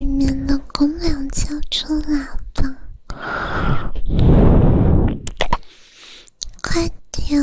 里面的姑娘叫出来叭，快点！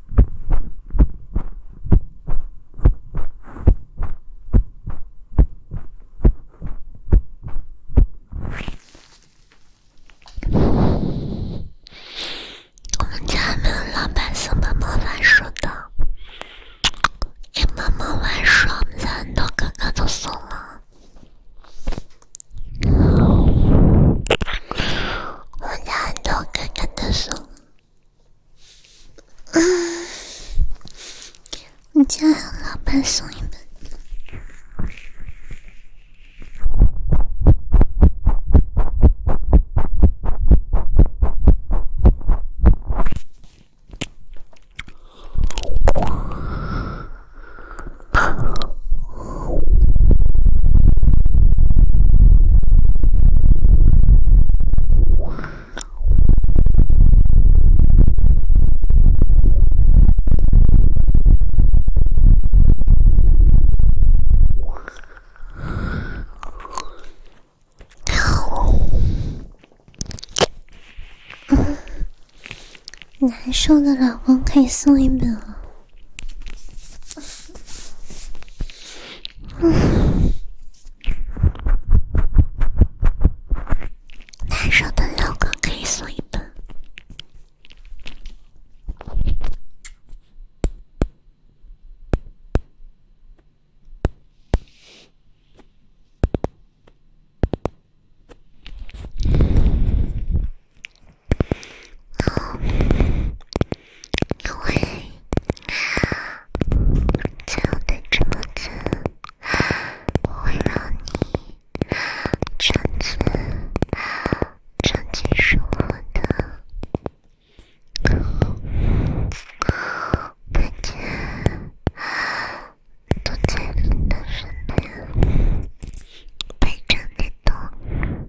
我们家没有老板送妈妈玩耍的，给妈妈玩耍，我们家很多哥哥都送了，我们家很多哥哥都送。你家老板送你们。难受的老公可以送一本了。难受的老公可以送一本。因为站得这么近，我会让你从此沉浸是我的，每天都在你的身边陪着你走。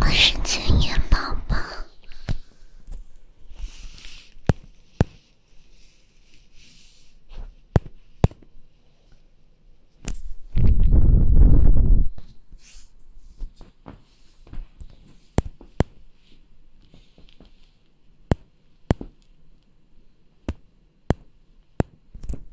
我是千叶宝宝。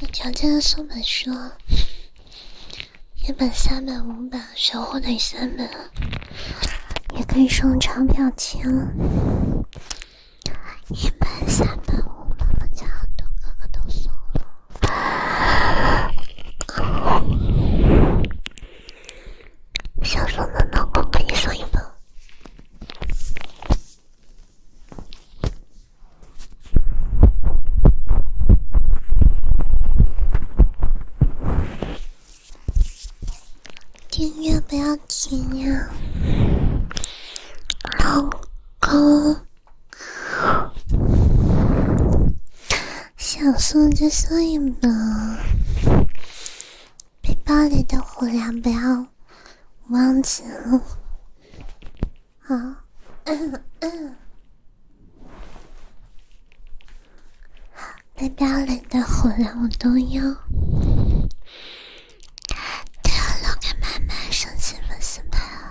有条件的送本书，一本、三本、五本，少不得三本，也可以送长票签。一般下班后，本，我家很多哥哥都收了。想送的老公，给你送一个。订阅不要停呀，老公。想送就送一吧，背包里的火粮不要忘记了，好，背包里的火粮我都有。对了，给妈妈生气了行吧？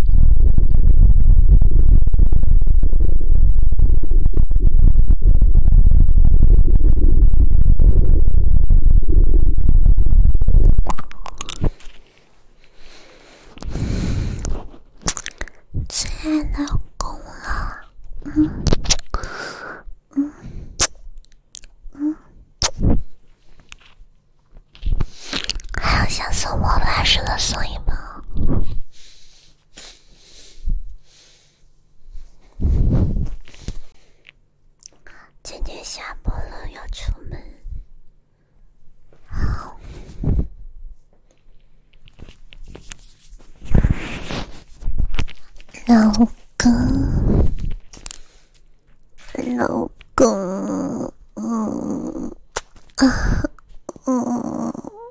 真的够了，嗯嗯还要像送我法似的送一包。今天下播了，要出门。老公，老公，啊，嗯。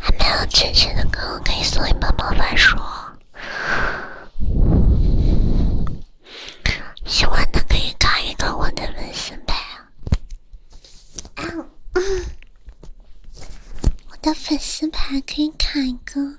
还没有进群的哥哥可以送一本魔法书，喜欢的可以卡一个我的粉丝牌啊！我的粉丝牌可以卡一个。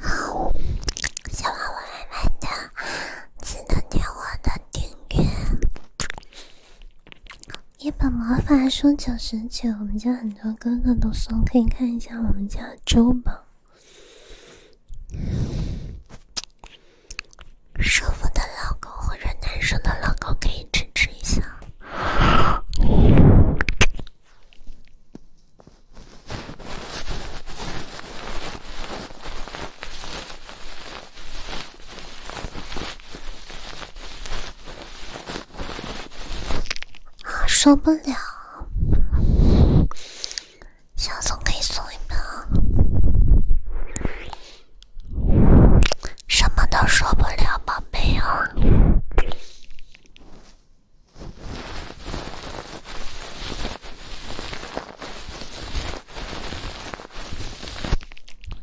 好，喜欢我妹的记得点我的订阅。一本魔法书九十九，我们家很多哥哥都送，可以看一下我们家周榜。舒服的老公或者男生的老公可以支持一下。受不了，想送给你送一秒。什么都说不了，宝贝哦！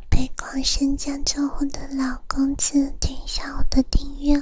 被狂神将救活的老公子，点下我的订阅。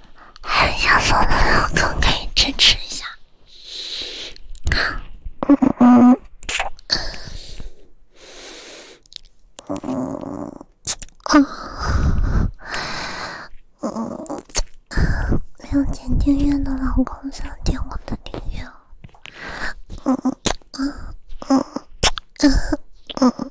还想做的老公可以支持一下。嗯嗯嗯嗯嗯嗯，没有点订阅的老公想听我的订阅。嗯嗯嗯嗯嗯嗯。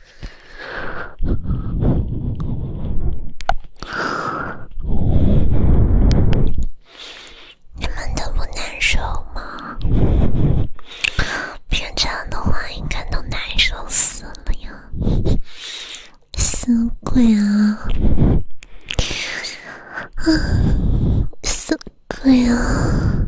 你们都不难受吗？平常的话应该都难受死了呀！死鬼呀！啊，死鬼啊！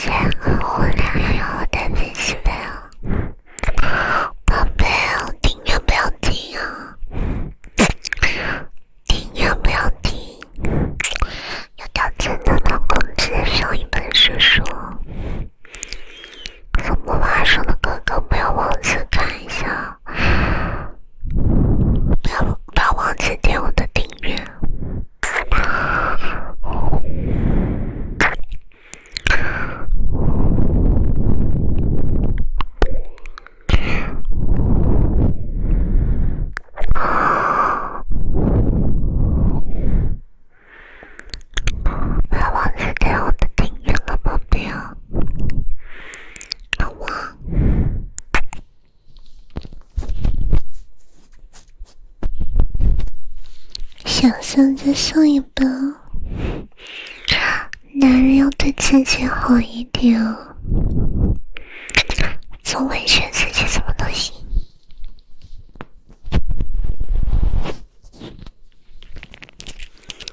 先和我聊一聊我的粉丝朋友，宝贝，我听要不要听啊？听要不要听？有条件的老公，直接上一本书说，怎么玩？’声的哥哥，不要忘记看一下。不要不要忘记点我的订阅，不要忘记点我的订阅，好不好？好嘛，想想再送一本。男人要对自己好一点，哦，总委屈自己怎么能行？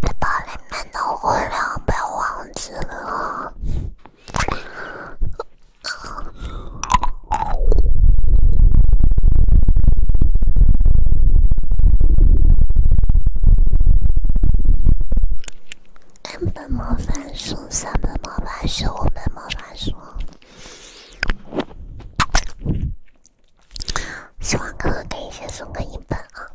背包里面的火药被忘记了。两本魔法书，三本魔法书，五本魔法书。希望哥哥可以先送个一本啊！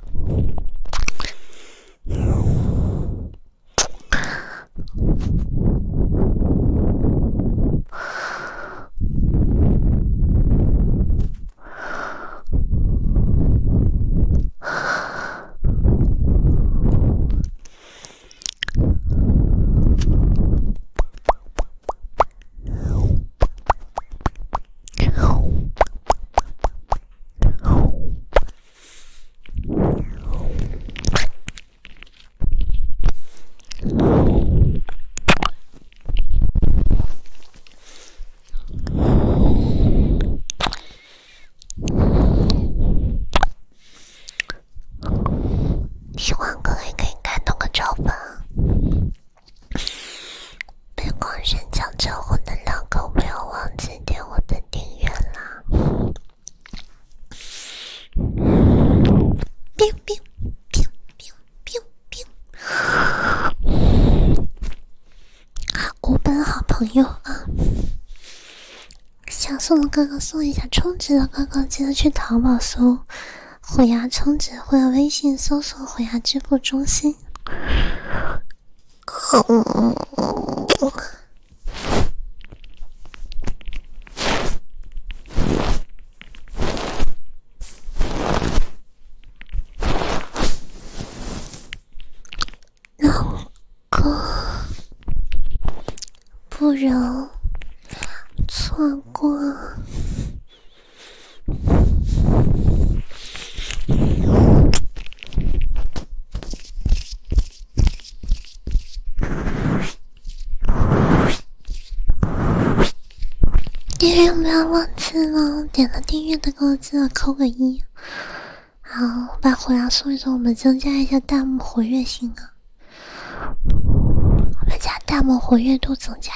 喜欢可以给感动个超粉。被光炫抢结婚的两个，不要忘记点我的订阅啦冰冰冰冰冰冰，b 五本好朋友啊！想送的哥哥送一下，充值的哥哥记得去淘宝搜。虎牙充值，或微信搜索“虎牙支付中心”。那我可不容错过。你有没有忘记了，点了订阅的给我记得扣个一。好，把火药送一送，我们增加一下弹幕活跃性啊，我们家弹幕活跃度增加。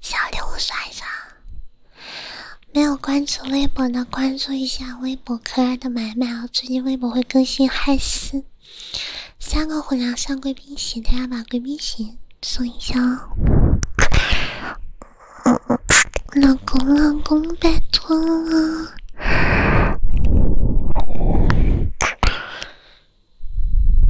小礼物刷一刷。没有关注微博的，关注一下微博可爱的买卖哦。最近微博会更新，嗨丝三个虎粮上贵宾席，大家把贵宾席送一下哦。老公，老公，拜托了。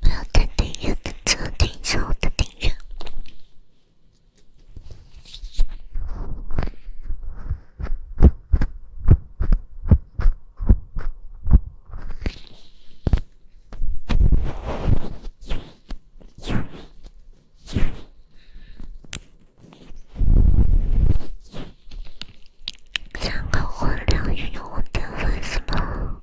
我要听订阅的歌，听一下我的订阅。想搞混两亿多的粉丝吗？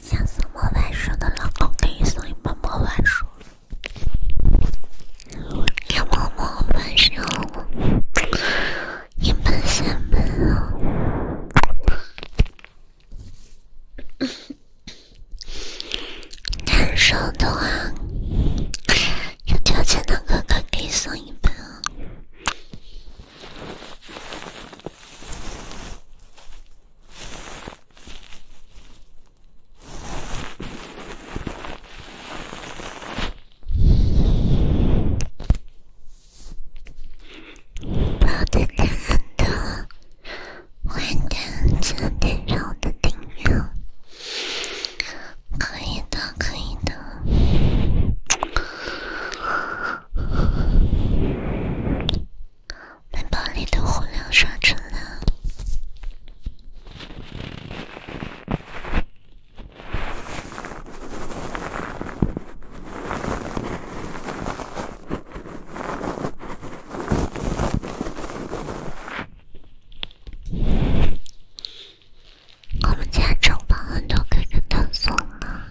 想送魔幻书的老公可以送一本魔法书。要魔幻书吗？一本三本啊？男生的话，有条件的哥哥可以送一本啊。包的很多，欢迎支持对上的订阅，可以的，可以的。能把你的火量刷成零？我们家城堡很多哥哥都送了。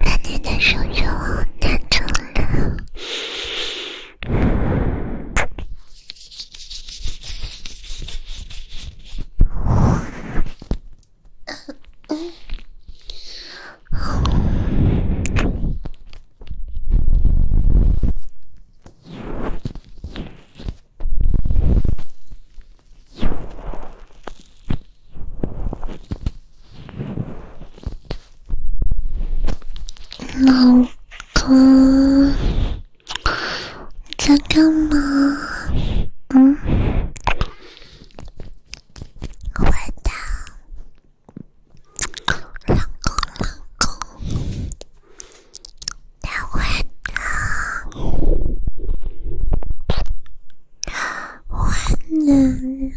那你的手就难做了。老公，你在干嘛？嗯，老公，老公，换人了。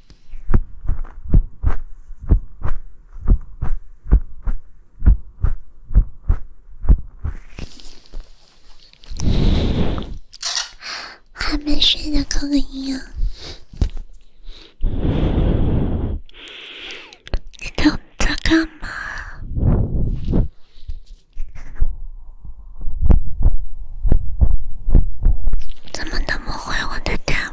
还没睡的扣个音啊！你都在干嘛？怎么那么我的蛋？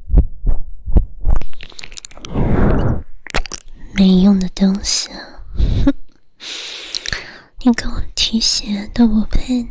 没用的东西，你给我提鞋都不配呢。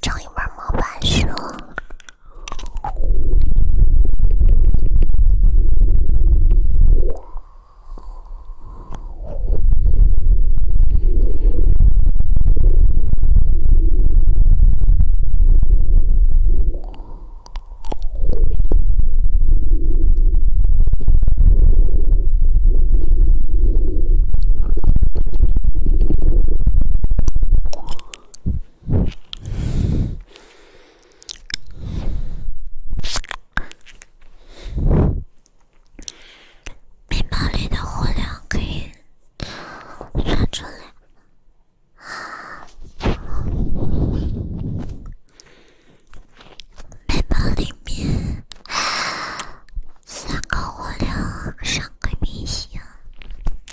长尾巴毛板蛇。背包里的火量可以算出来。背包里面三个火量，上个明星。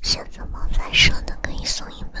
选择猫在生的可以送一本。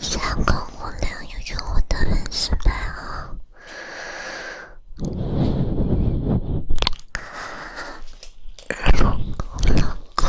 三更五更，又有我的人是白鹤。哎呦，老公。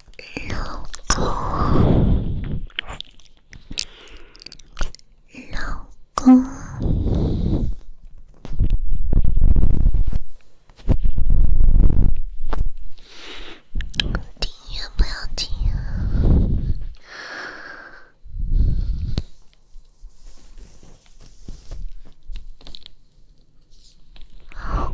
老公，老公，听音乐不要听啊！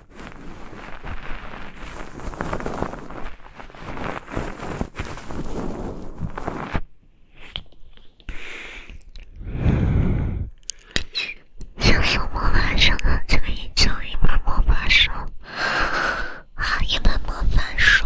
想送魔法师，就一卷一本魔法书，一本魔法书。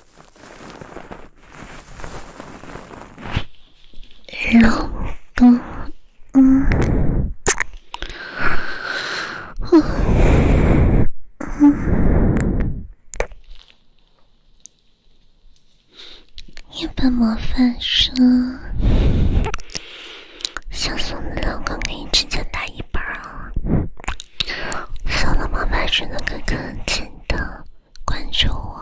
老公，嗯，嗯，一本模范书，小宋的老公可以直接打一半啊。小浪漫派，记得跟跟紧的，关注我。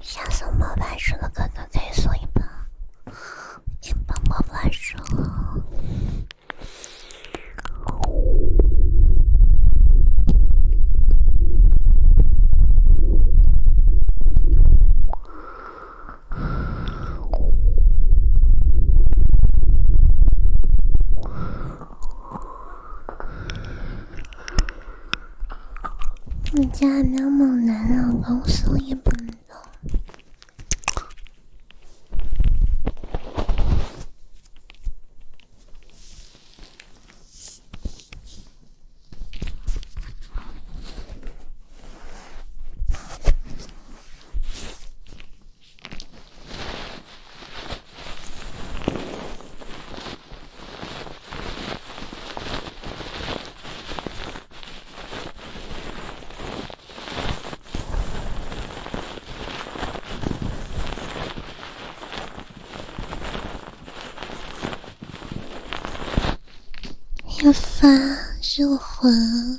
想送魔法书的哥哥可以送一本，一帮魔法树。你家没有猛男老公，所也不能动。要发入魂。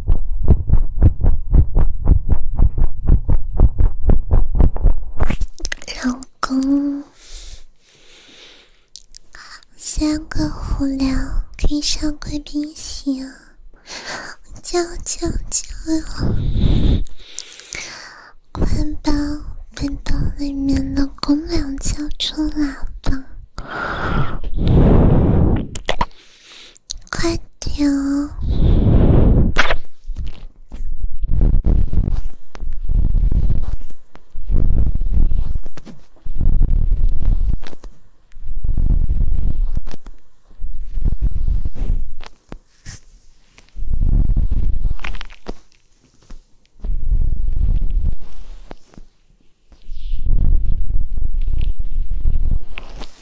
老公，三个虎粮可以上贵宾席啊！叫叫叫，快把背包里面的姑娘叫出来吧！快点！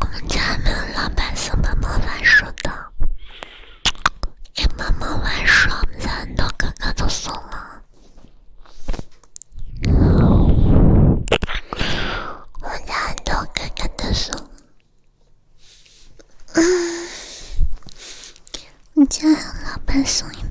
我们家没有老板送帮忙玩耍的，给妈妈玩耍。我们家很多哥哥都送了，我们家很多哥哥都送。你家老板送一本。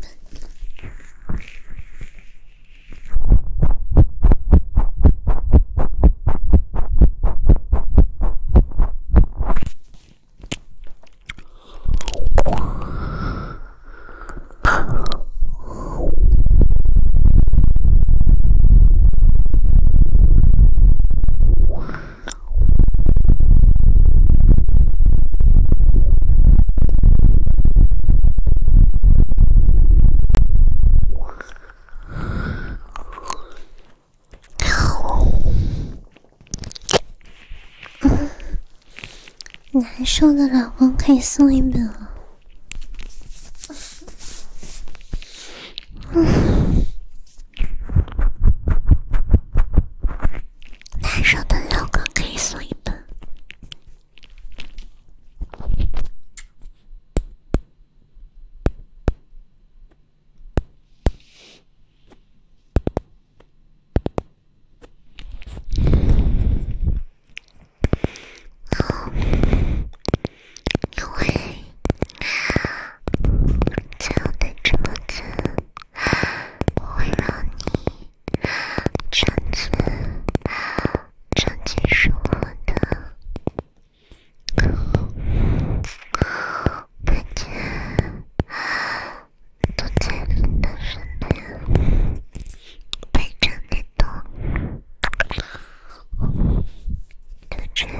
难受的老公可以送一本了。男生的老公可以送一本。因为我会让你。长久，长久是我的。每天都在你的身边，陪着你走，就这样。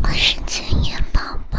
我是千言宝宝。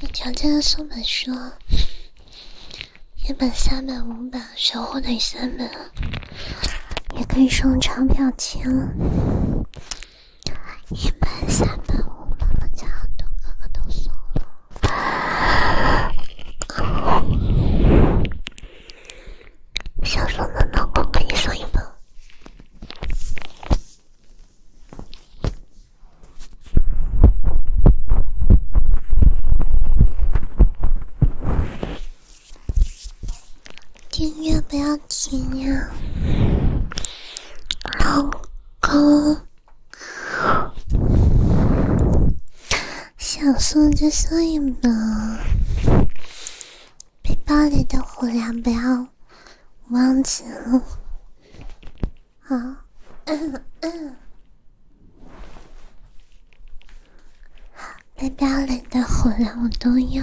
有条件的送本书，一本、三本、五本，守护哪三本？也可以送长票情。一本、三本、五本。我家很多哥哥都送了。想说的老公跟你说一份，音乐不要停呀，老公。想送就一吧。背包里的火粮不要忘记了，好。好，背包里的火粮我都要。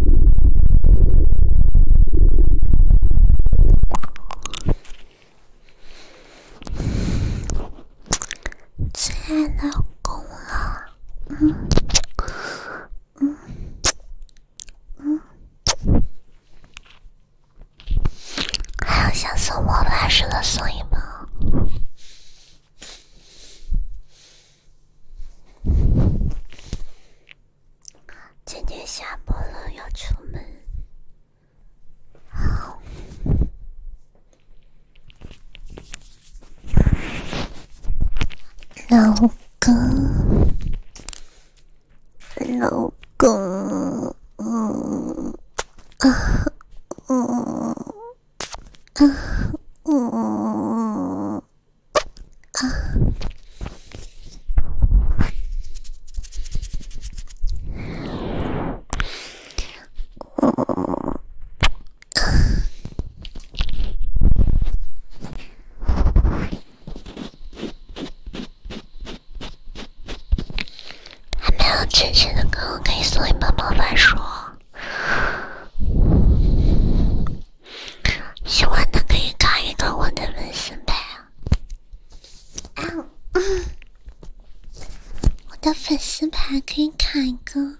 最爱老公了，嗯嗯嗯，还有像送我法似的送一包。今天下播了，要出门。好，老公，老公，嗯，啊，嗯，啊，嗯。还没有清醒的哥，我可以送一本魔法书。喜欢的可以卡一个我的粉丝牌啊！我的粉丝牌可以卡一个。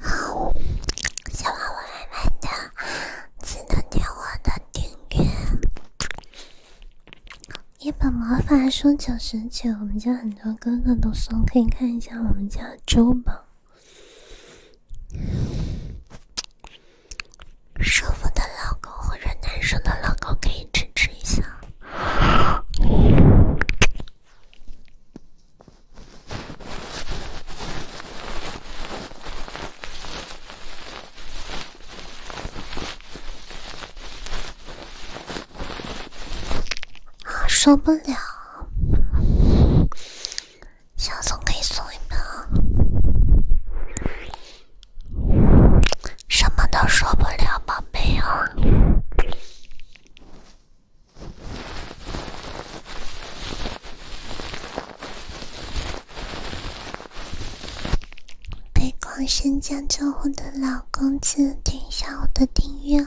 好，喜欢我慢慢的，记得点我的订阅。一本魔法书九十九，我们家很多哥哥都送，可以看一下我们家珠宝，舒服的老公或者男生的老公，可以支持一下。啊，受不了，小宋可以送一杯啊，什么都受不了，宝贝哦。被狂删账户的老公子，点一下我的订阅。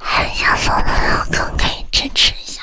还想做的老哥可以支持一下。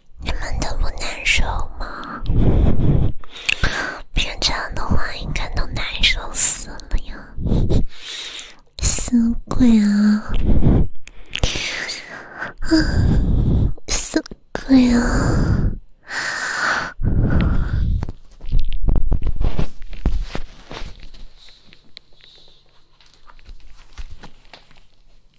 你们都不难受吗？平常的话应该都难受死了呀！死鬼啊！啊，死鬼啊！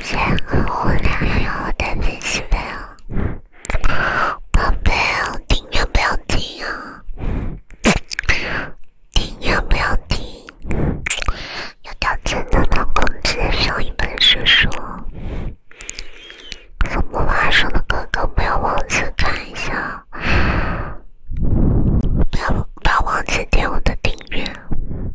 先和我聊聊我的粉丝们，宝贝哦，听呀，不要停呀，听呀，不要停。有掉钱的老公，直接上一本小说。有不晚上的哥哥，不要忘记看一下。不要不要忘记点我的订阅。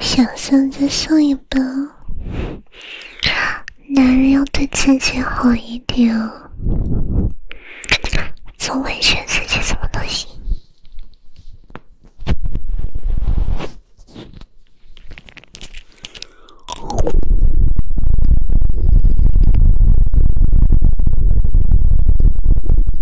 想送再上一本，男人要对自己好一点，总委屈自己怎么都行。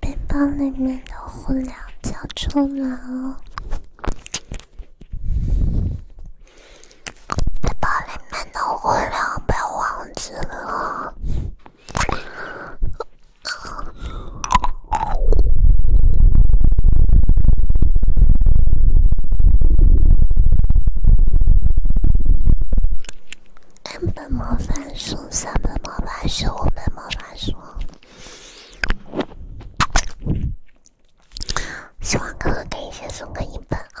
背包里面的胡椒交出来哦！背包里面的胡椒被忘记了。两本魔法书，三本魔法书，五本魔法书。喜欢哥哥可以先送个一本啊。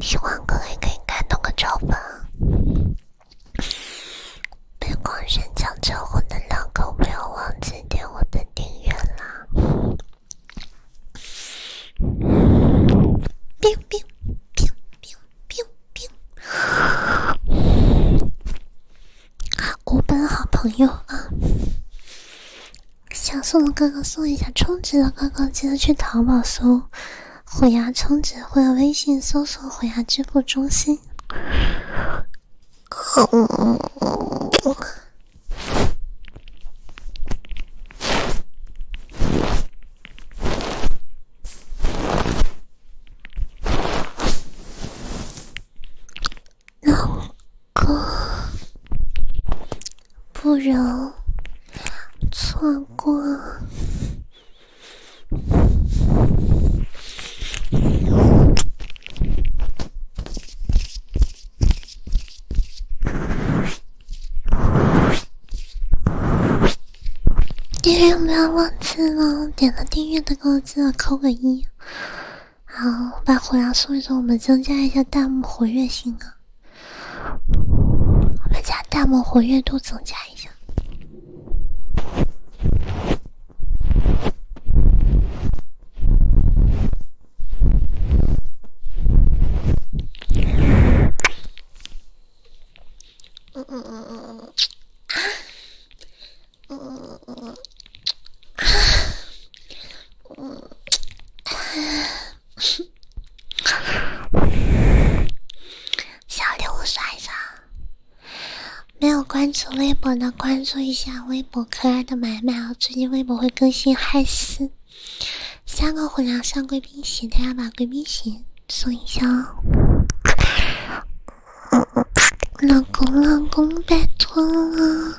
喜欢哥哥可以开多个招粉，别光选抢结婚的老公，不要忘记。点我的订阅了。冰冰冰冰冰冰，我本好朋友啊。想送的哥哥送一下充值的哥哥，记得去淘宝搜“虎牙充值”或者微信搜索“虎牙支付中心”。老公，不容错过。订阅不要忘记了点了订阅的哥记得扣个一。好，把火药送一送，我们增加一下弹幕活跃性啊，我们家弹幕活跃度增加一下。嗯嗯嗯嗯，啊，嗯嗯嗯嗯，啊，嗯嗯嗯嗯，小礼物甩一下，没有关注微博的，关注一下微。我可爱的买卖啊，最近微博会更新，害死三个虎粮上贵宾席，大家把贵宾席送一下。哦。老公，老公，拜托了。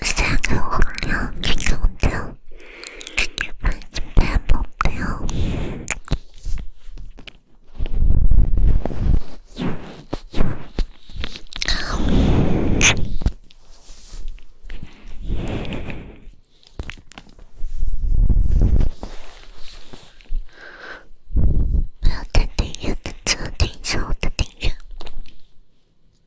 三十六秒，今天我听，今天我听，不要停停停停停停停停。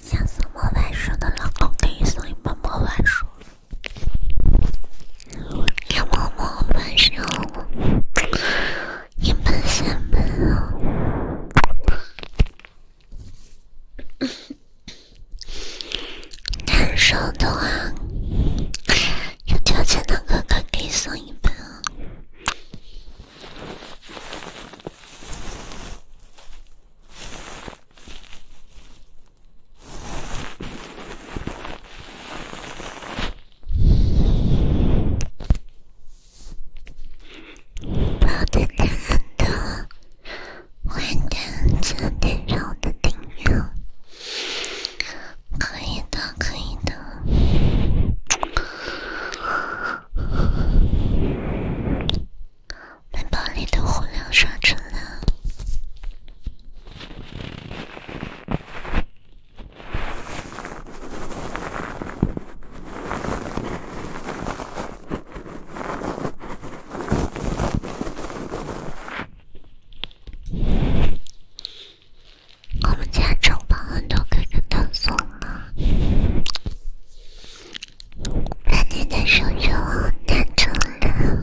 想送书的老公，可以送一本魔法书。要某某本书，一本三本啊！难受的话，有条件的哥哥可以送一本啊。抱着他，的换点最温柔的顶柔，可以的，可以的，把包里的火亮刷成了。我们家城堡很多客人都走了，那你的手就难做了。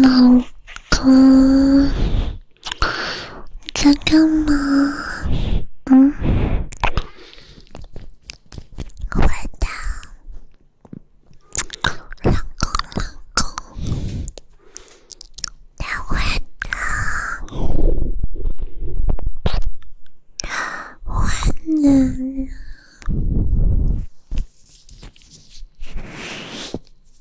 老公，你在干嘛？嗯，回答，老公老公，回答，我男人。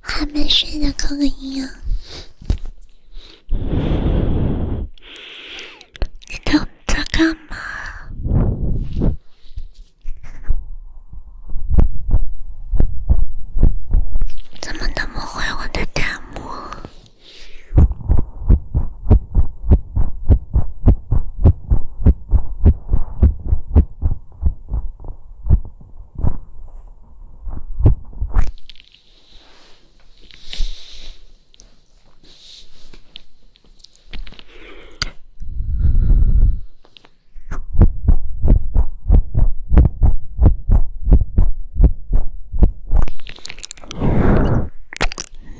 还没睡的扣个一呀！你都在干嘛？怎么那么坏？我的弹幕？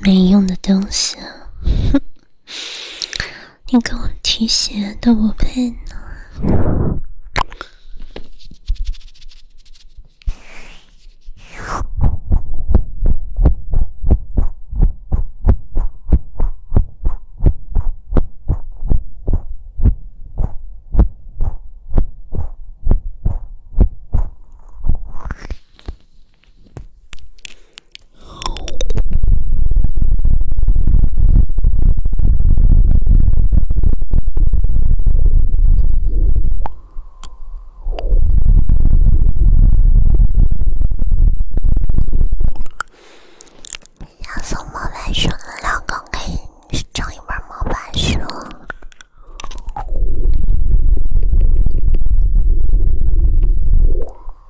没用的东西，哼。你给我提鞋都不配呢。想送毛板鼠的老公，给你整一本毛板书。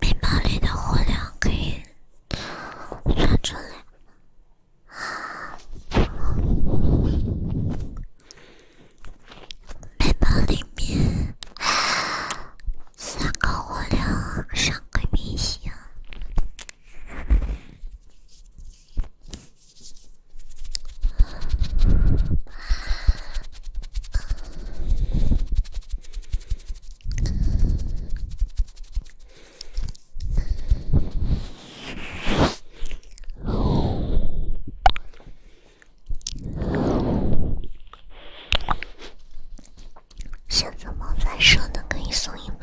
背包里的火量可以算出来。背包里面三个火量，三个明星。现在毛在生的可以送一本。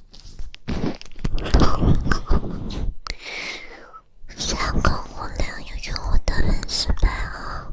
三个五零，用我的人生牌号。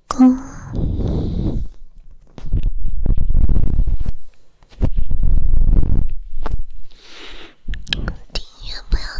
哥，听音乐不要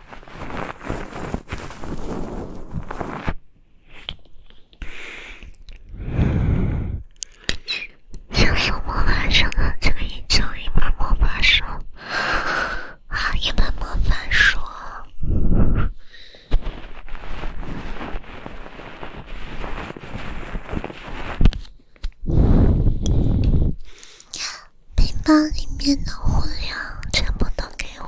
送魔法一本魔法书，一本魔法书。包里面的物料全部都给我。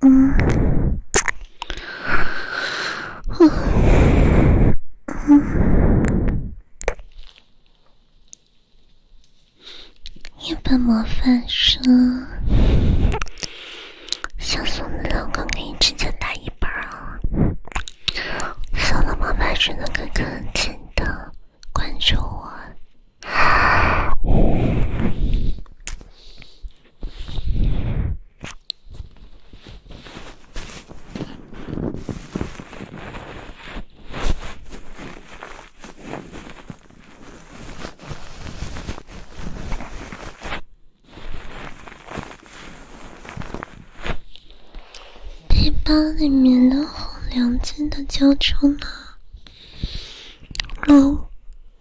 嗯，嗯，一本魔法书，想送老公给你，直接打一本啊！了，老板们，的哥哥，记的，关注我。背包里面的红粮金的交出呢？啦，喽。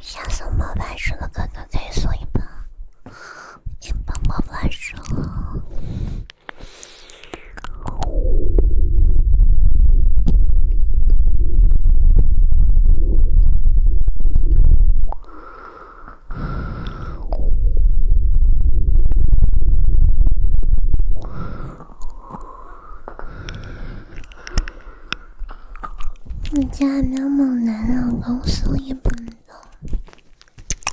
想送魔法鼠的哥哥可以送一把，一盆毛你家没有猛男老公，所也不能动。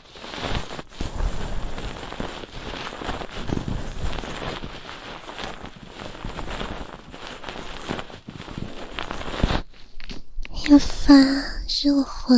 要发入魂。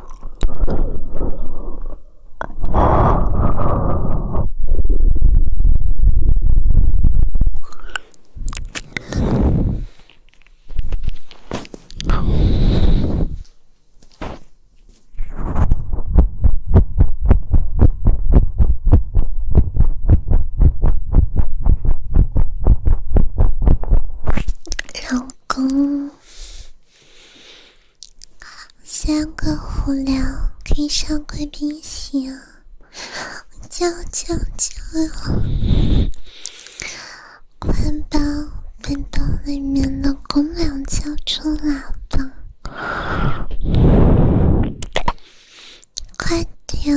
老公。三个无聊，可以上贵宾席啊！叫叫叫！快把背包里面的公粮救出来吧！快点！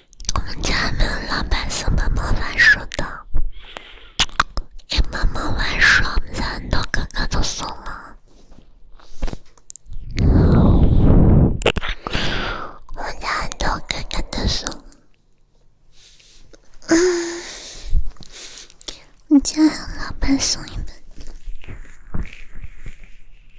我们家没有老板送本毛毛书的，给妈妈玩书。我们家很多哥哥都送了，我们家很多哥哥都送。嗯，我们家老板送一本。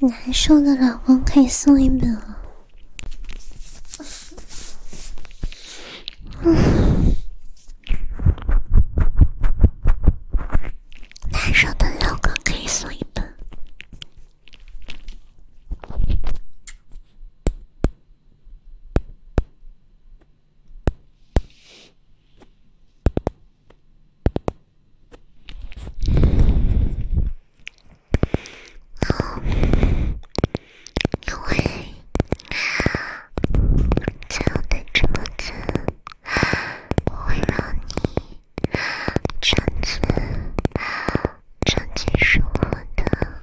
难受的老公可以送一本。难受的老公可以送一本。因为这样的日子不会让你从此沉寂生活的。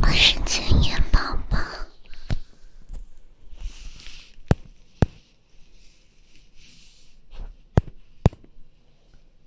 我是千言宝宝。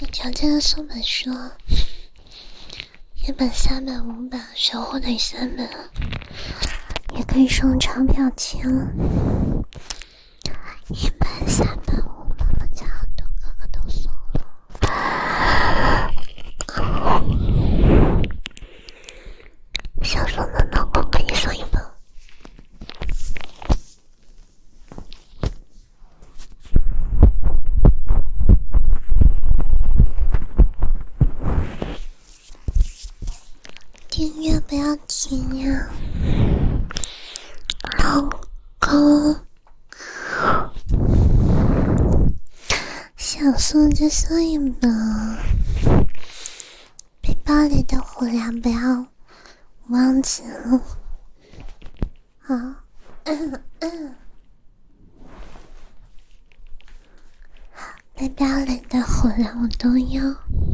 有条件的送 本书，一本、三本、五本，收获得三本，也可以送钞票钱，一本、三本、五本。家很多哥哥都送了，小说能不能给我送一本？音乐不要停呀，老公，想说就说吧，背包里的火粮不要。忘记了，好，好，那边领的虎粮我都有，都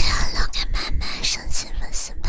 要留给妈妈省着吃吧。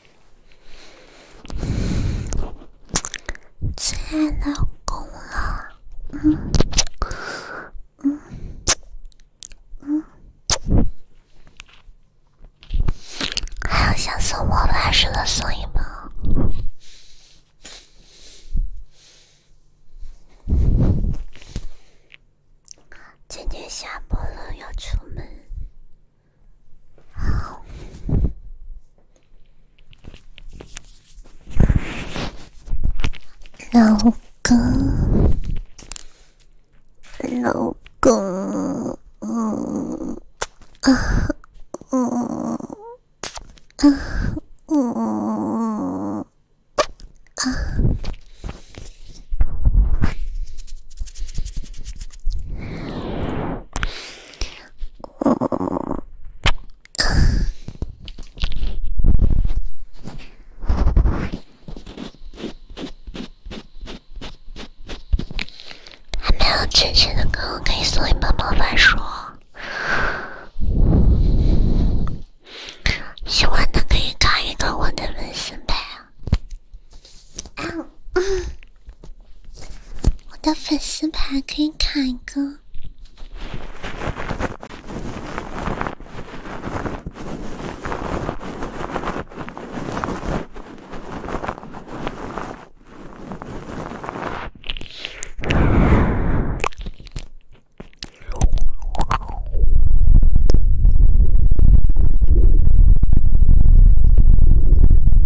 最爱老公了，嗯嗯还要像送魔法似的送一包。今天下播了要出门。老公，老公，啊，嗯，啊，嗯，啊。还没有惊喜的哥哥，可以送一本魔法书。喜欢的可以看一个我的人呗。我的粉丝牌可以卡一个。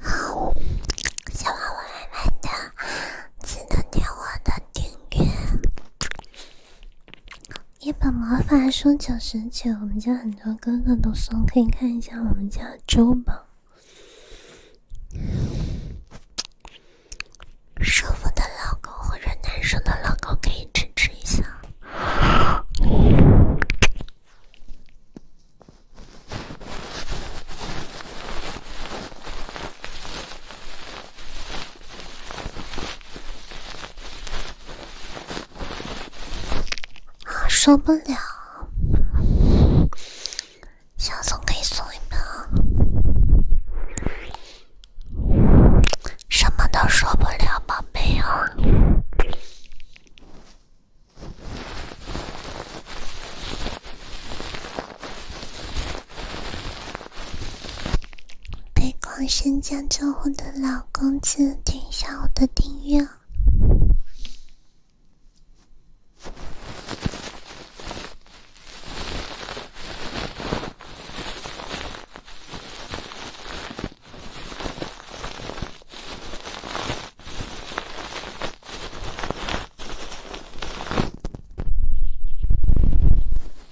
好，喜欢我慢慢的记得点我的订阅。一本魔法书九十九，我们家很多哥哥都送，可以看一下。我们家的珠宝，舒服的老公或者男生的老公可以支持一下。受不了，小次可以送一啊。什么都受不了，宝贝啊！被狂犬将救活的老公子，点一下我的订阅。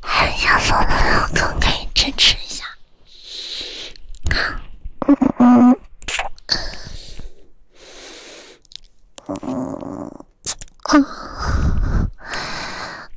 还想做的老哥可以支持一下。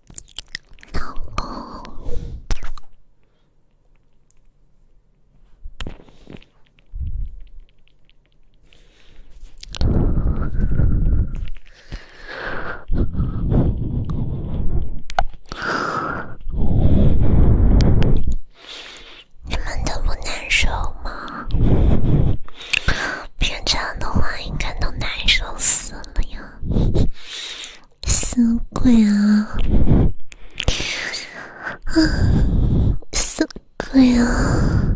老公，你们都不难受吗？平常的话，应该都难受死。哎呀，死鬼啊！啊，死鬼啊！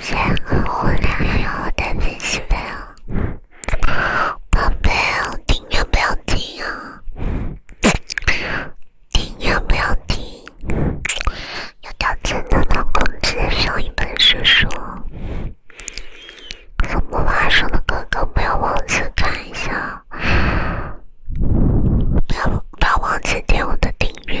先和我聊一聊我的新朋友。宝贝，我听要不要听啊？听要不要听？有条件的老公直接上一本书书。还没完说的哥哥不要忘记看一下，不要不要忘记点我的订阅。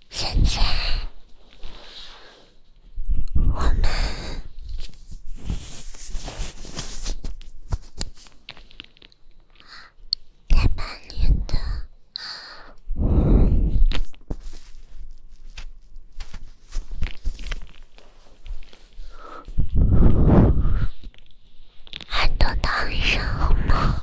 现在我们在半年的很多道理上，好吗？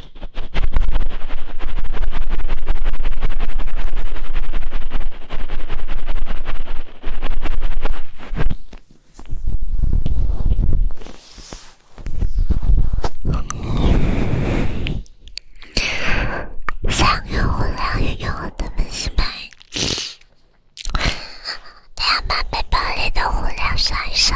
三个无聊又有的粉丝们，先把背包里的无聊刷一刷。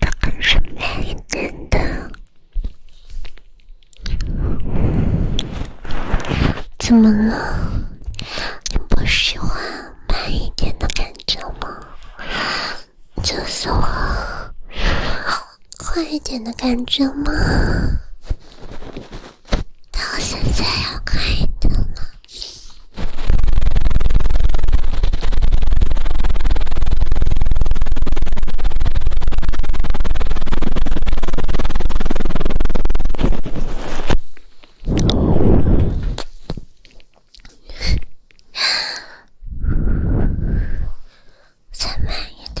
他干什慢一点的？怎么了？你不喜欢慢一点的感觉吗？就是我快一点的感觉吗？…どうせ、せを描いたの寒いで。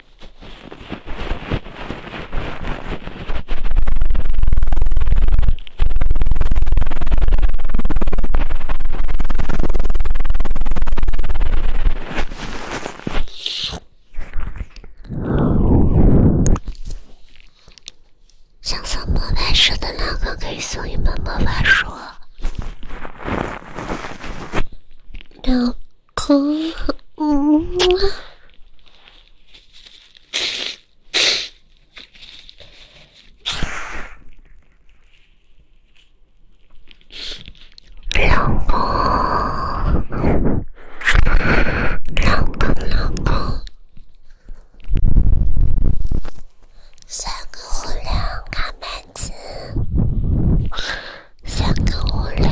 想送魔法书的那个可以送一本魔法书。等。可好？嗯。老公，老公，老公，老公，三个无聊，卡门子，三个无聊。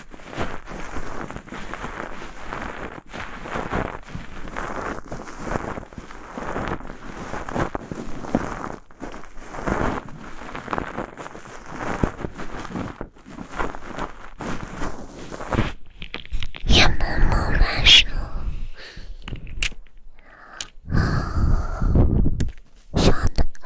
也慢慢乱烧，啊，香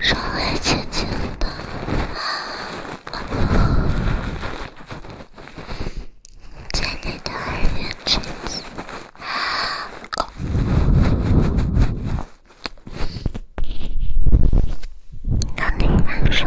稍微轻轻的，在你的耳边轻声，让你感受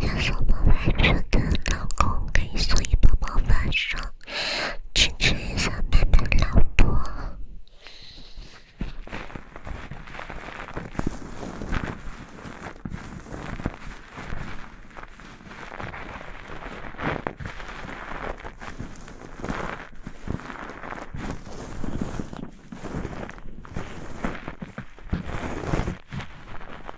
要什么宝发的老公，可以送一宝宝发车，支持一下笨笨老婆。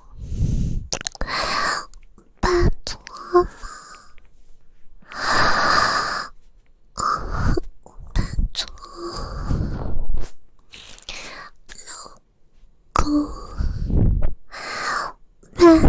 满足了，我满足老公满足了，够了。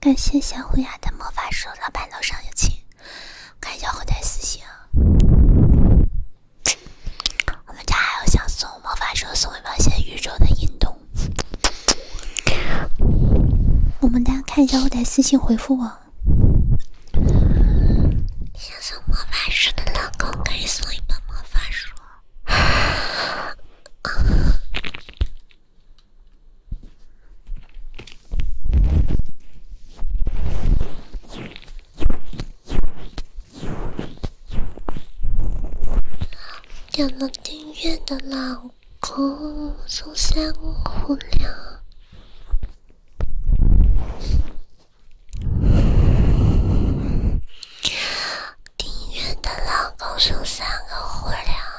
感谢小虎牙的魔法书，老板楼上有请，看一下后台私信。我们家还有想送魔法书送一本写宇宙的硬通，我们家看一下后台私信回复我。想送魔法书的老公可以送一本魔法书。点了订阅的老公，互相互撩。丁原的老公生三个火蛋啊！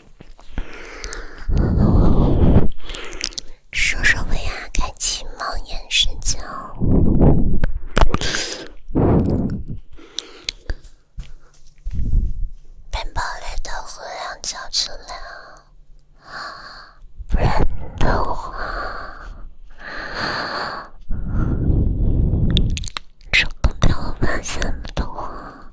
说说为啥开启猫眼睡觉？钱包里的货量叫质量，不然的话，这都老板什么的话？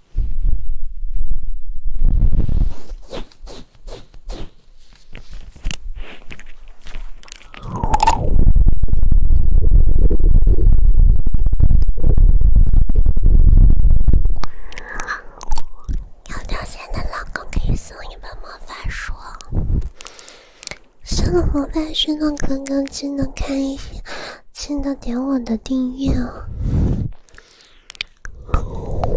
有掉线的老公可以送一本魔法书，送魔法书的哥哥只能看一些。记得点我的订阅哦。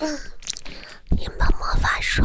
嗯，你们没法说。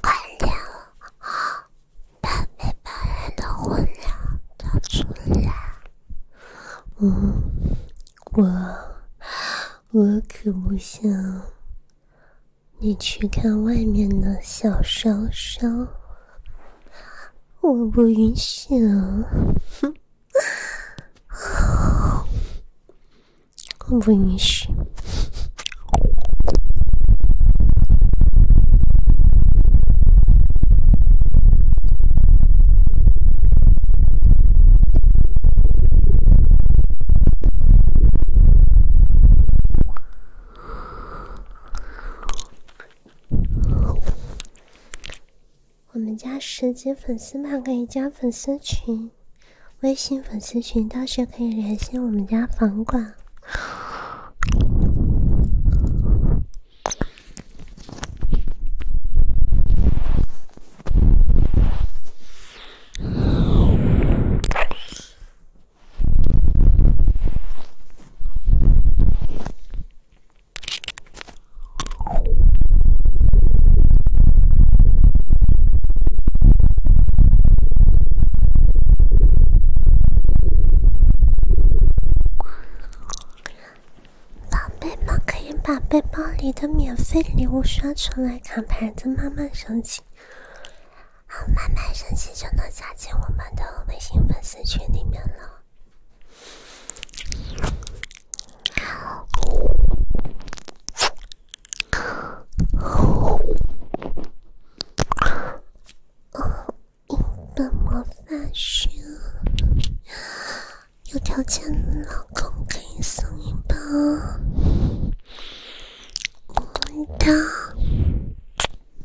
快点！把背包里的火苗找出来。我我我可不想你去看外面的小烧烧。我不允许！哼，我不允许！我们家十级粉丝嘛，可以加粉丝群，微信粉丝群，到时可以联系我们家房管。宝贝们可以把背包里的免费礼物刷出来，看牌子慢慢升级。好，慢慢升级就能加进我们的微信粉丝群里面了。哦，一本魔法书。有条件，老公可以送一本。么么哒。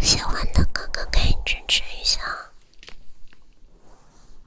喜欢的哥哥，可以支持一下。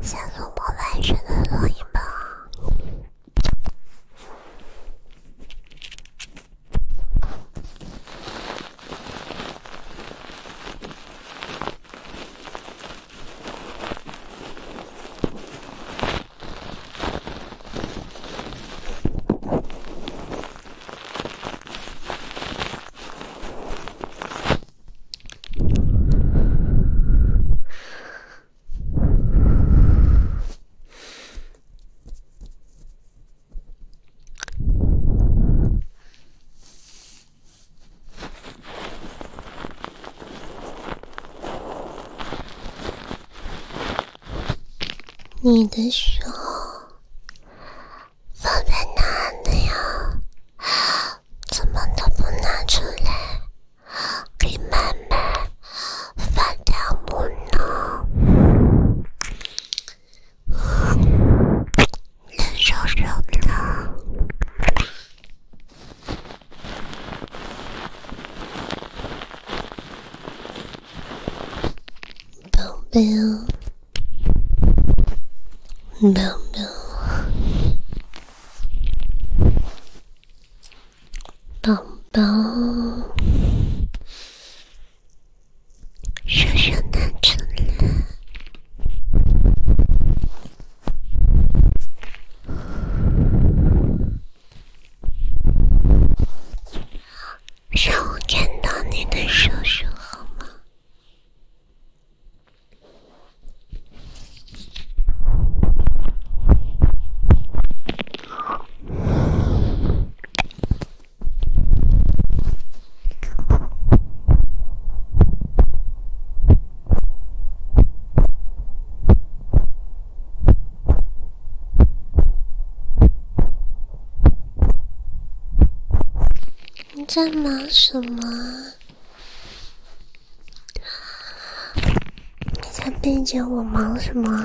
先做我完轩的录音吧。你的手放在哪里呀？怎么都不拿出来？给妹妹发条母呢？宝宝，叔叔拿出来，让我看到你的叔叔好吗？你在忙什么？你在背着我忙什么？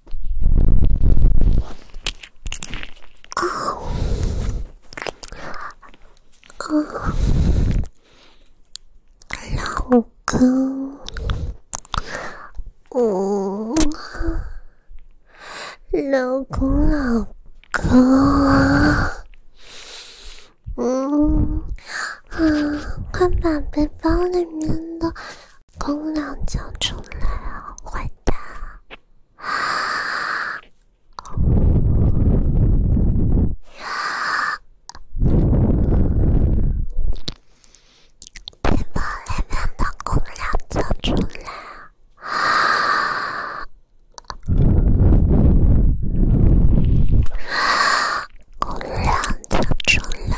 老公，嗯，老公，老公，嗯，啊，快把背包里面的公粮交出来啊，坏蛋！先把里面的公粮倒出来。公粮倒出来。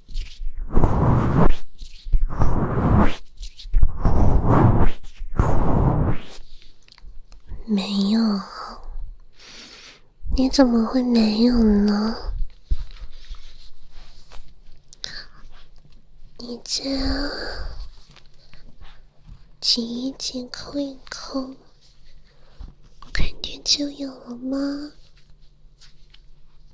没有？你怎么会没有呢？你样挤一挤，抠一抠，肯定就有了吗？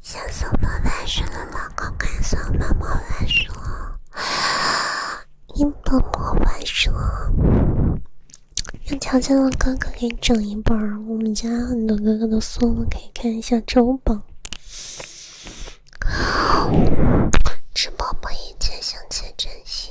想搜宝幻书的老公，看搜魔法书，英德魔法书。有条件的哥哥给整一本，我们家很多哥哥都送了，可以看一下周榜。直播不，一切向前，珍惜。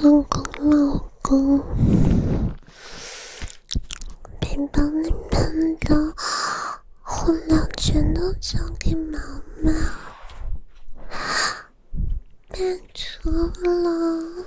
老公，老公，别把你喷的混乱全都交给妈妈，别错了。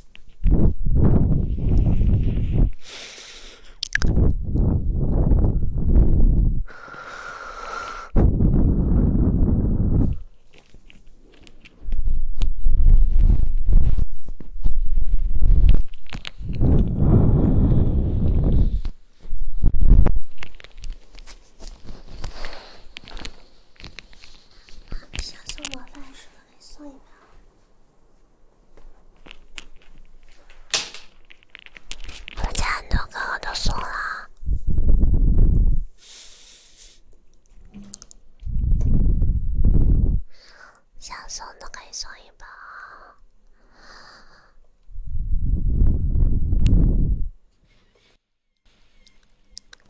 想送我饭是送一个，我家很多歌我都送了，想送的可以送一个。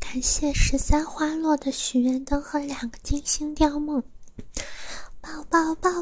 感谢十三花落的许愿灯和两个金星雕梦，抱抱抱。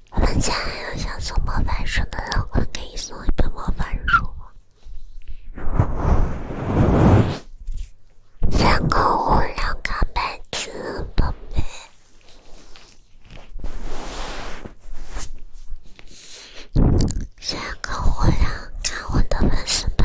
我们家还有想送魔法书的老我可以送一本魔法书吗？三个火量，看本子宝贝。三个火量，看我的本事吧。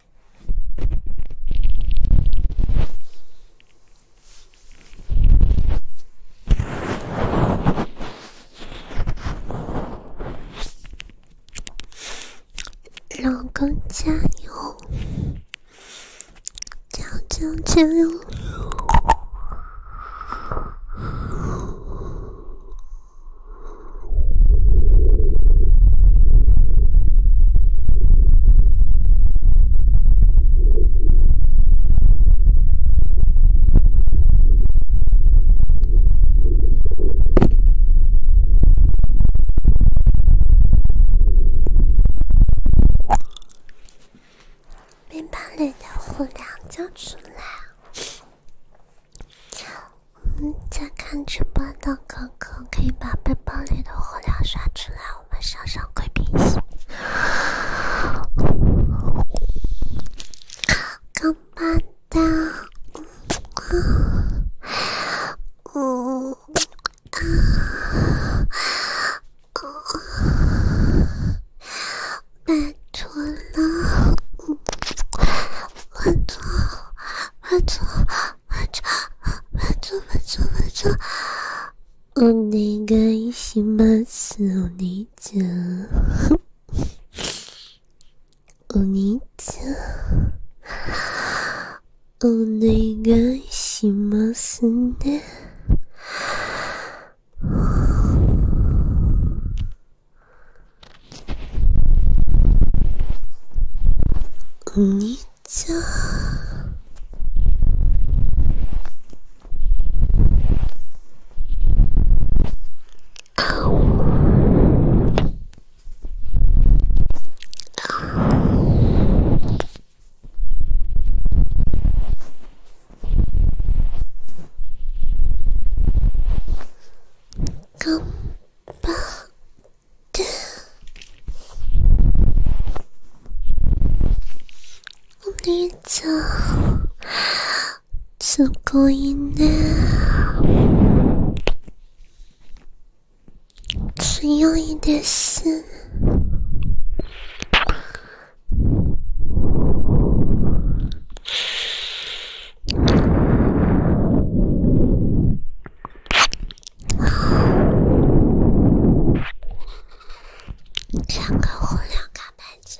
老公加油！加油加油！把你的火粮交出来我在看直播的哥哥，可以把背包里的火药刷出来，我们上上贵宾席。刚搬到，嗯，嗯，嗯，搬出了，嗯，搬出。むつむつむつむつむつお願いしますお兄ちゃんお兄ちゃんお願いしますねにちゃこんばお姉ちゃんすごいね強いです两个红，两个白子。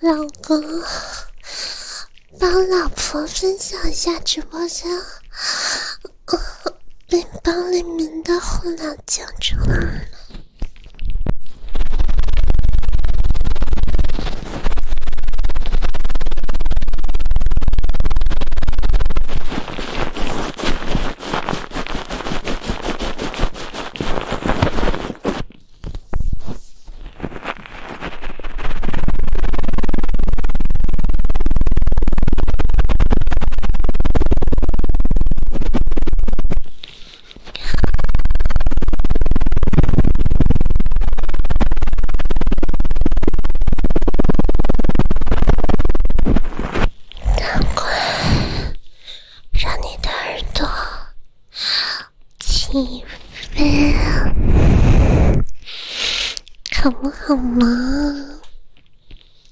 老公，帮老婆分享一下直播间。我背包里面的火药枪出来了？难怪让你的耳朵起飞了，好不好嘛？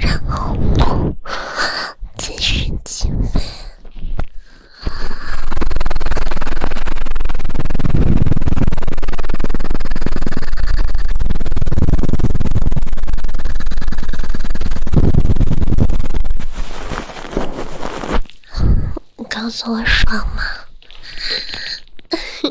然后继续兴奋？你告诉我爽吗？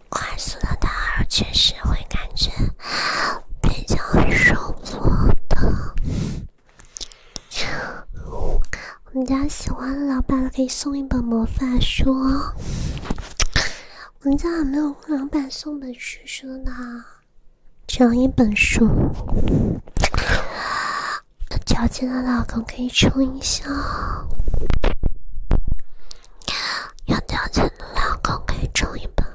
快速的打耳确实会感觉比较舒服的。我们家喜欢老板的可以送一本魔法书。我们家还没有老板送本书书呢，只要一本书。有条件的老公可以冲一下。要两千的老公可以挣一本。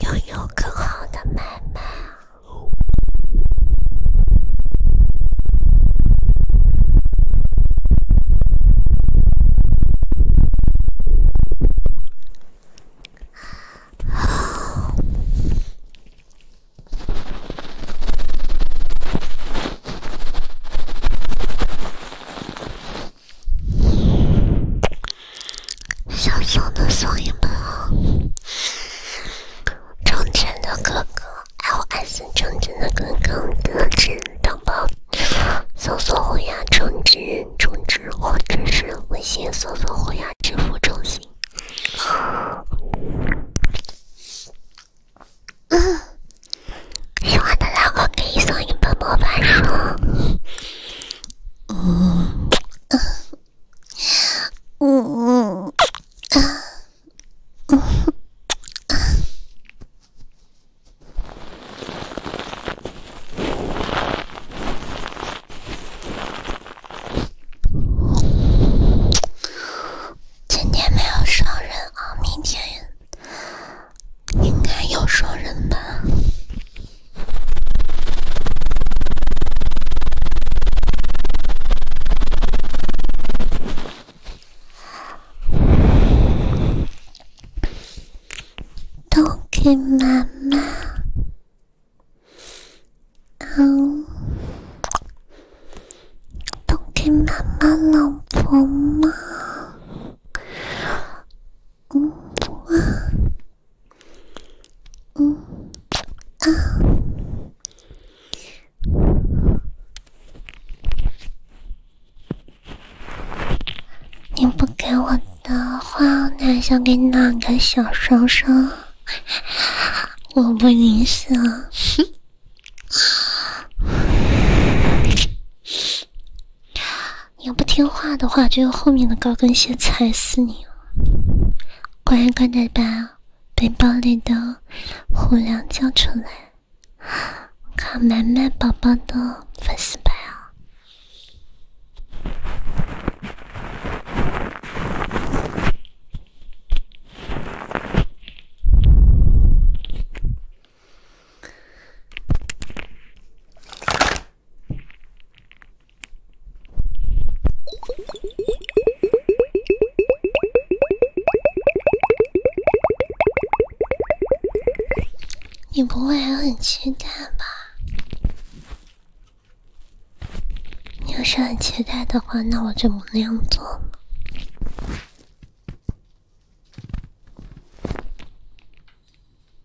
拥有更好的买卖。想送的送一本哦，充钱的哥哥爱 s 充钱的哥哥得知礼包，搜索虎牙充值，充值或者是微信搜索虎牙支付中心。嗯，喜欢的老可以送一本魔法书。嗯。嗯嗯，啊，嗯，啊，今天没有双人啊，明天应该有双人吧。都给妈妈。嗯，都给妈妈老婆吗？嗯。嗯啊，你不给我的话，那想给哪个小双双？我不理你了。你要不听话的话，就用后面的高跟鞋踩死你！乖，乖的把背包里的虎粮交出来，看满满宝宝的粉丝牌啊！你不会还很期待吧？你要是很期待的话，那我就不那样做了。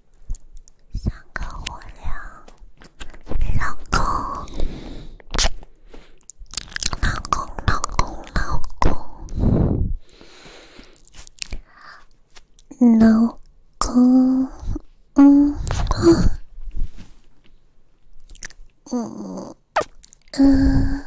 想跟我聊，老公，老公，老公，老公，嗯，嗯，嗯，嗯。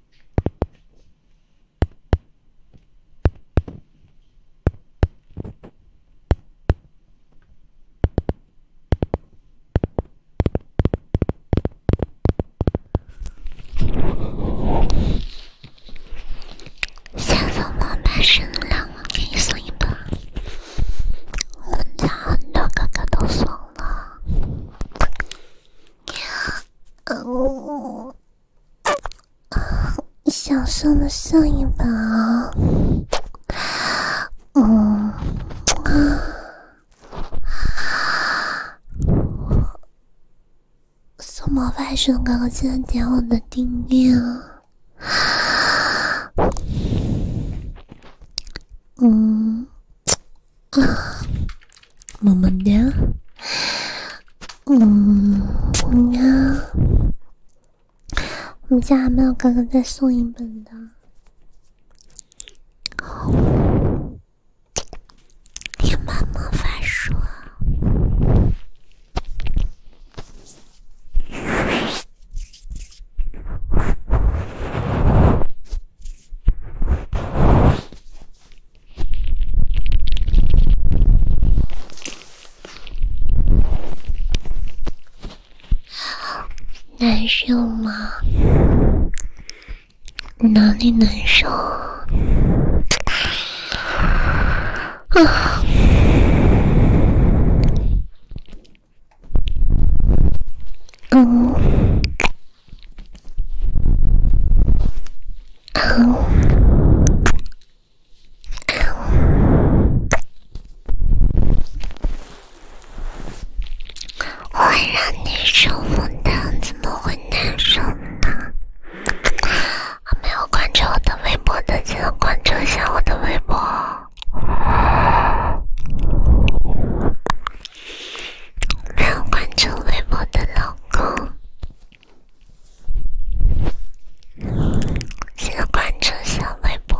想送我男神两个，送一个。我们家很多哥哥都送了。啊，享受的上一把，嗯，啊，什么外甥哥哥记得点我的订阅，嗯。啊，萌么哒，嗯，呀，我们家还没有哥哥再送一本的，天要魔法书。难受吗？哪里难受？啊？嗯。我让你舒服的，怎么会难受呢？还没有关注我的微博的，记得关注一下我的微博。没有关注微博的老公，先关注一下微博。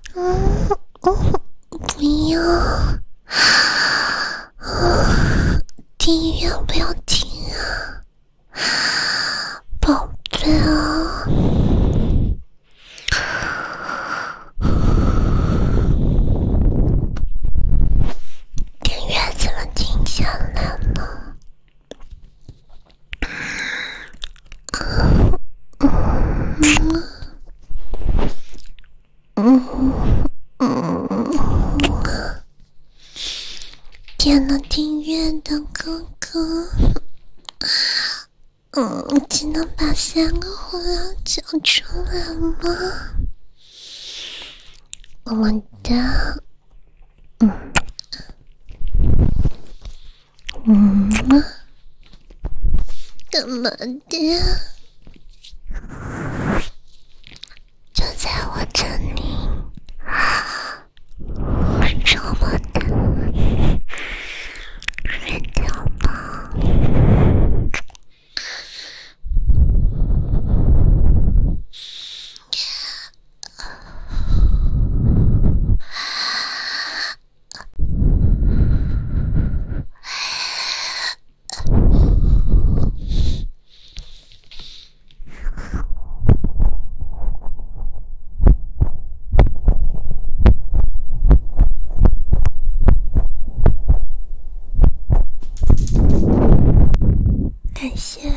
嗯，没有，订阅不要停啊，宝贝啊，订阅怎么停下来了？点了订阅的哥哥，嗯，只能把三个火药讲出来吗？晚嗯。嗯，干嘛的？就在我这里啊，我这么的，睡觉吧。感谢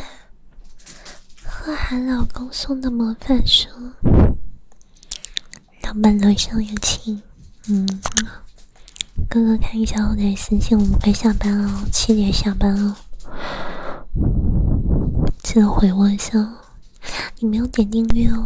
贺涵老公送的魔法书。老板楼上有情，嗯，哥哥看一下后台私信，我们快下班了，七点下班哦，记得回我一下哦，你没有点订阅哦。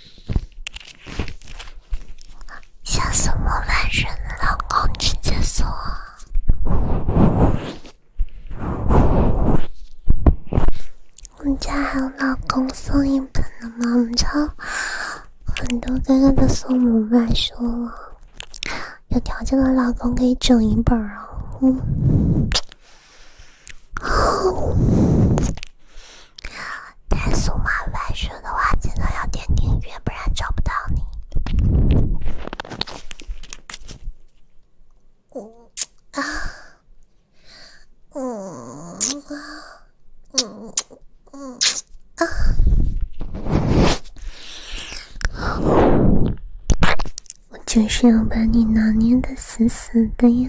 想送我万生的老公直接送，我们家还有老公送一本的们家很多哥哥都送莫万生了，有条件的老公可以整一本啊，嗯。但是嘛，晚说的话真的要点订阅，不然找不到你。我啊，嗯，嗯，嗯啊，我就是要把你拿捏的死死的呀。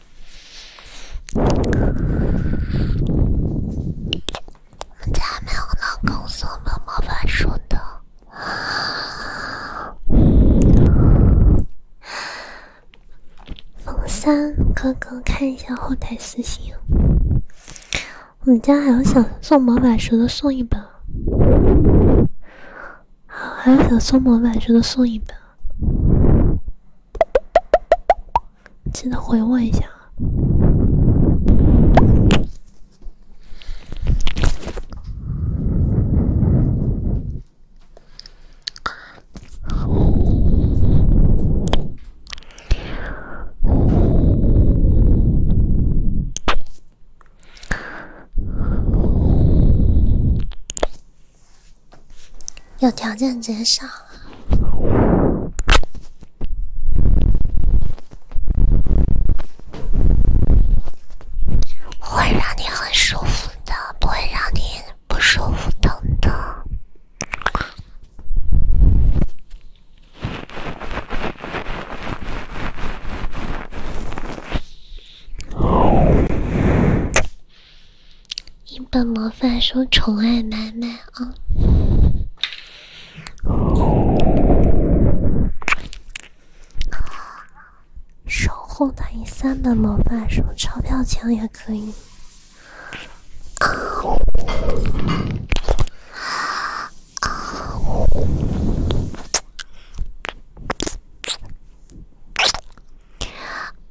我们家没有公送魔法书的。三哥哥，看一下后台私信。我们家还有想送魔法书的送一本，好，还有想送魔法书的送一本。记得回我一下啊！有条件减少，会让你很舒服的，不会让你不舒服等等。一本魔法书宠爱满满啊！守护它，一三本魔法书钞票钱也可以。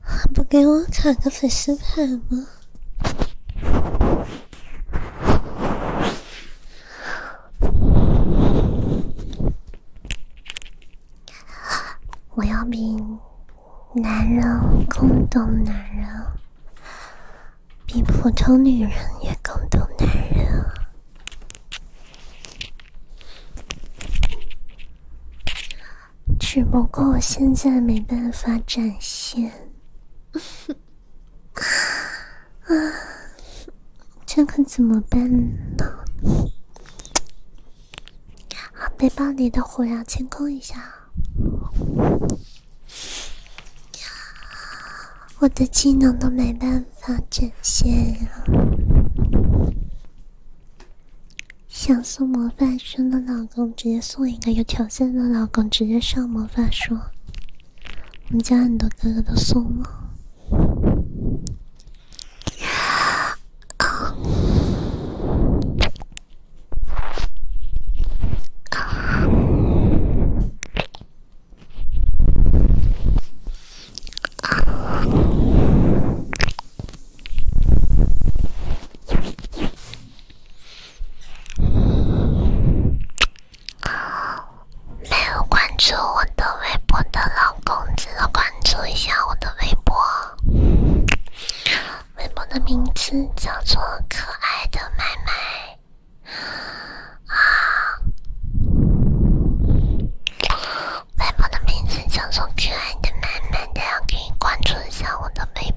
还不给我卡个粉丝牌吗？我要比男人更懂男人，比普通女人也更懂男人。只不过我现在没办法展现，啊，这可怎么办呢？把背包里的火药清空一下，我的技能都没办法展现啊。想送魔法书的老公，直接送一个有条件的老公，直接上魔法书。我们家很多哥哥都送了。没有关注我的微博的老公记得关注一下我的微博。微博的名字叫做可爱的麦麦。好，微博的名字叫做可爱的麦麦，大家可以关注一下我的微博。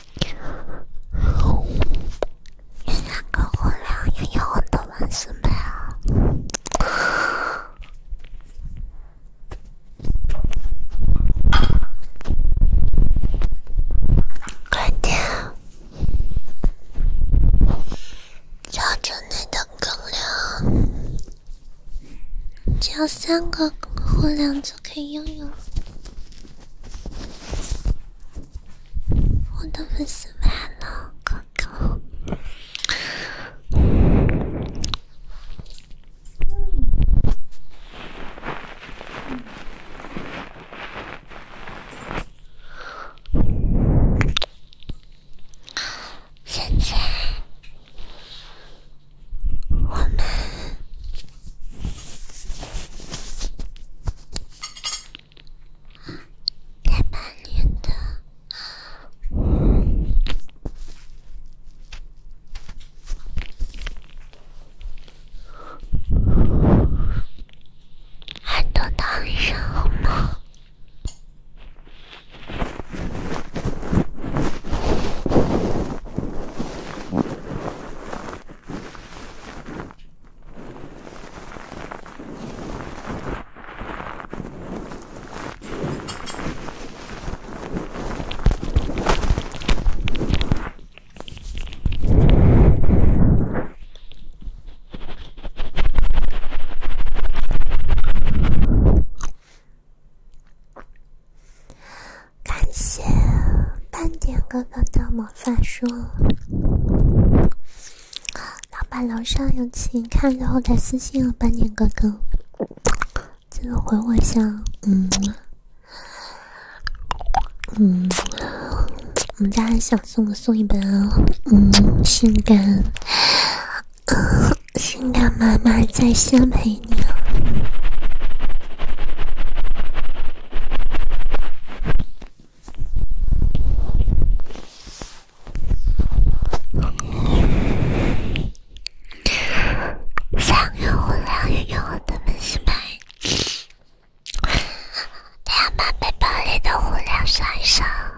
三个火量拥有我的万世美啊！快点，加准你的火量，加三个火量就可以拥有。我的粉丝们了，哥哥，现在我们。再把你的好耳朵当一声好吗？感谢斑点哥哥的梦。发说？老板楼上有请，看着后台私信了，斑点哥哥，记得回我一下。嗯，嗯，我们家还想送送一本，嗯，性感，性感妈妈在线陪你。三个无聊又可恶的明星们，他们背包里的无聊啥啥。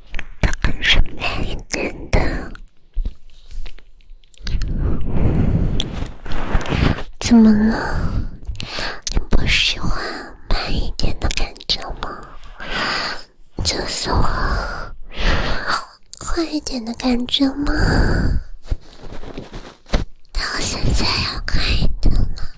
它可是慢一点的，怎么了？你不喜欢慢一点的感觉吗？就快一点的感觉吗？我现在要快一点了。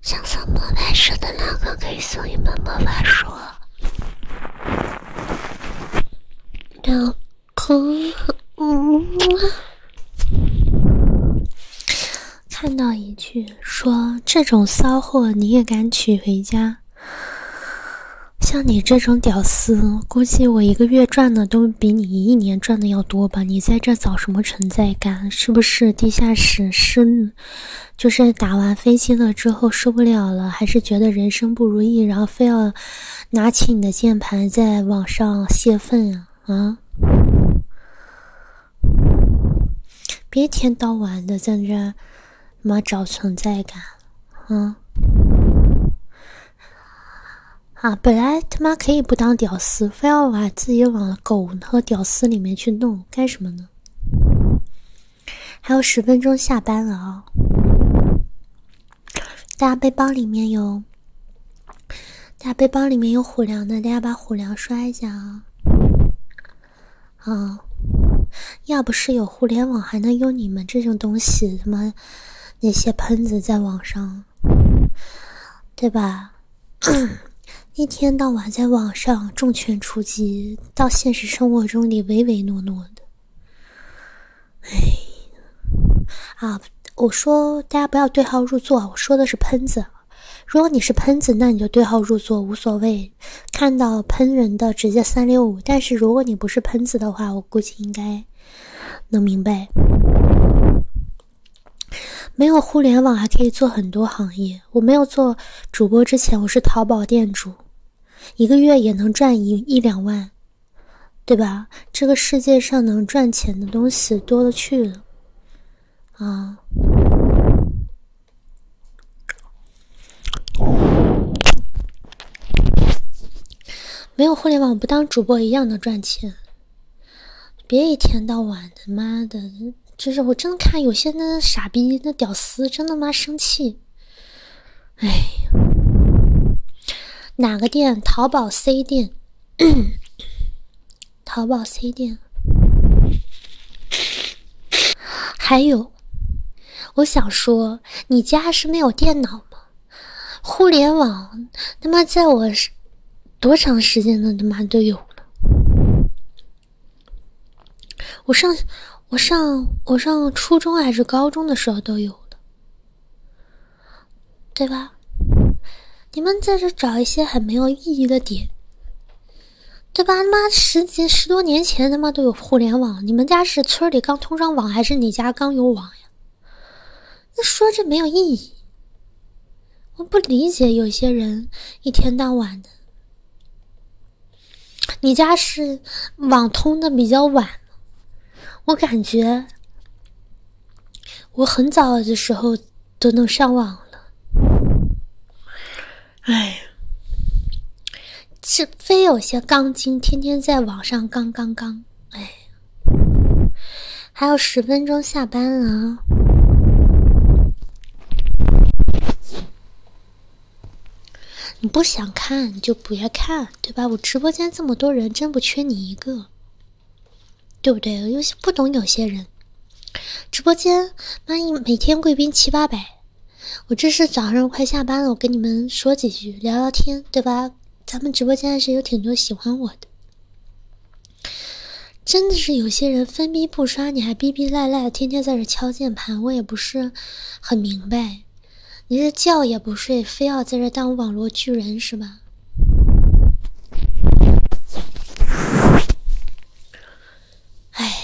想送魔法书的可以送一本魔法书。老公，嗯，看到一句。说这种骚货你也敢娶回家？像你这种屌丝，估计我一个月赚的都比你一年赚的要多吧？你在这找什么存在感？是不是地下室深？就是打完飞机了之后受不了了，还是觉得人生不如意，然后非要拿起你的键盘在网上泄愤啊啊？别一天到晚的在这妈找存在感，嗯，啊，本来他妈可以不当屌丝，非要把自己往狗和屌丝里面去弄，干什么呢？还有十分钟下班了啊！大家背包里面有，大家背包里面有虎粮的，大家把虎粮刷一下啊！啊！要不是有互联网，还能有你们这种东西妈那些喷子在网上，对吧？一天到晚在网上重拳出击，到现实生活中里唯唯诺诺的。哎呀！啊，我说大家不要对号入座，我说的是喷子。如果你是喷子，那你就对号入座，无所谓。看到喷人的直接三六五，但是如果你不是喷子的话，我估计应该能明白。没有互联网还可以做很多行业，我没有做主播之前，我是淘宝店主，一个月也能赚一一两万，对吧？这个世界上能赚钱的东西多了去了，啊。没有互联网，不当主播一样能赚钱。别一天到晚的，妈的，就是我真的看有些那傻逼、那屌丝，真的妈生气。哎，哪个店？淘宝 C 店，淘宝 C 店，还有。我想说，你家是没有电脑吗？互联网他妈在我是多长时间呢？他妈都有了。我上我上我上初中还是高中的时候都有的，对吧？你们在这找一些很没有意义的点。对吧？他妈十几十多年前，他妈都有互联网。你们家是村里刚通上网，还是你家刚有网呀？那说这没有意义。我不理解有些人一天到晚的。你家是网通的比较晚，我感觉我很早的时候都能上网了。哎，是非有些钢筋天天在网上杠杠杠，哎，还有十分钟下班了，你不想看就别看，对吧？我直播间这么多人，真不缺你一个，对不对？有些不懂有些人，直播间万一每天贵宾七八百。我这是早上快下班了，我跟你们说几句，聊聊天，对吧？咱们直播间还是有挺多喜欢我的，真的是有些人分逼不刷，你还逼逼赖赖天天在这敲键盘，我也不是很明白。你这觉也不睡，非要在这当网络巨人是吧？哎，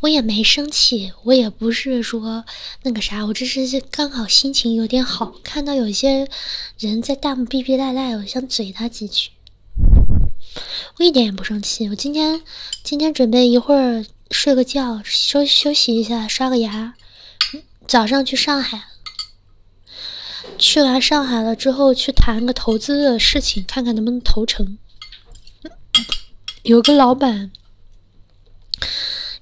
我也没生气，我也不是说那个啥，我只是刚好心情有点好，看到有些人在弹幕逼逼赖赖，我想嘴他几句，我一点也不生气。我今天今天准备一会儿睡个觉，休休息一下，刷个牙，早上去上海，去完上海了之后去谈个投资的事情，看看能不能投成。有个老板，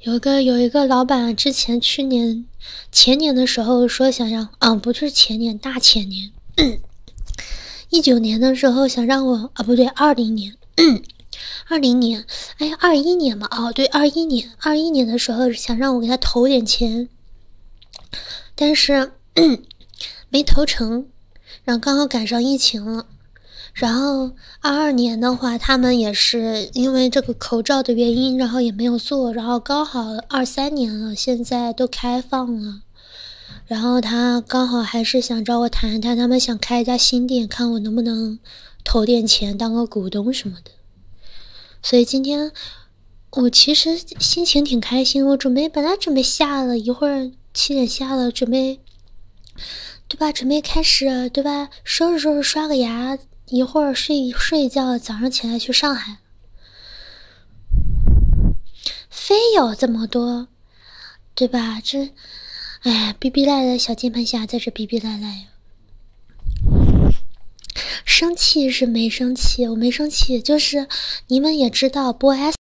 有个有一个老板，之前去年、前年的时候说想让，啊，不是前年大前年，一九年的时候想让我啊，不对，二零年，二零年，哎呀，二一年嘛，哦，对，二一年，二一年的时候想让我给他投点钱，但是。没投成，然后刚好赶上疫情了。然后二二年的话，他们也是因为这个口罩的原因，然后也没有做。然后刚好二三年了，现在都开放了。然后他刚好还是想找我谈谈，他们想开一家新店，看我能不能投点钱当个股东什么的。所以今天我其实心情挺开心，我准备本来准备下了一会儿。七点下了，准备，对吧？准备开始，对吧？收拾收拾，刷个牙，一会儿睡睡一觉，早上起来去上海。非要这么多，对吧？这，哎，逼逼赖赖，小键盘侠在这逼逼赖赖呀。生气是没生气，我没生气，就是你们也知道播 S。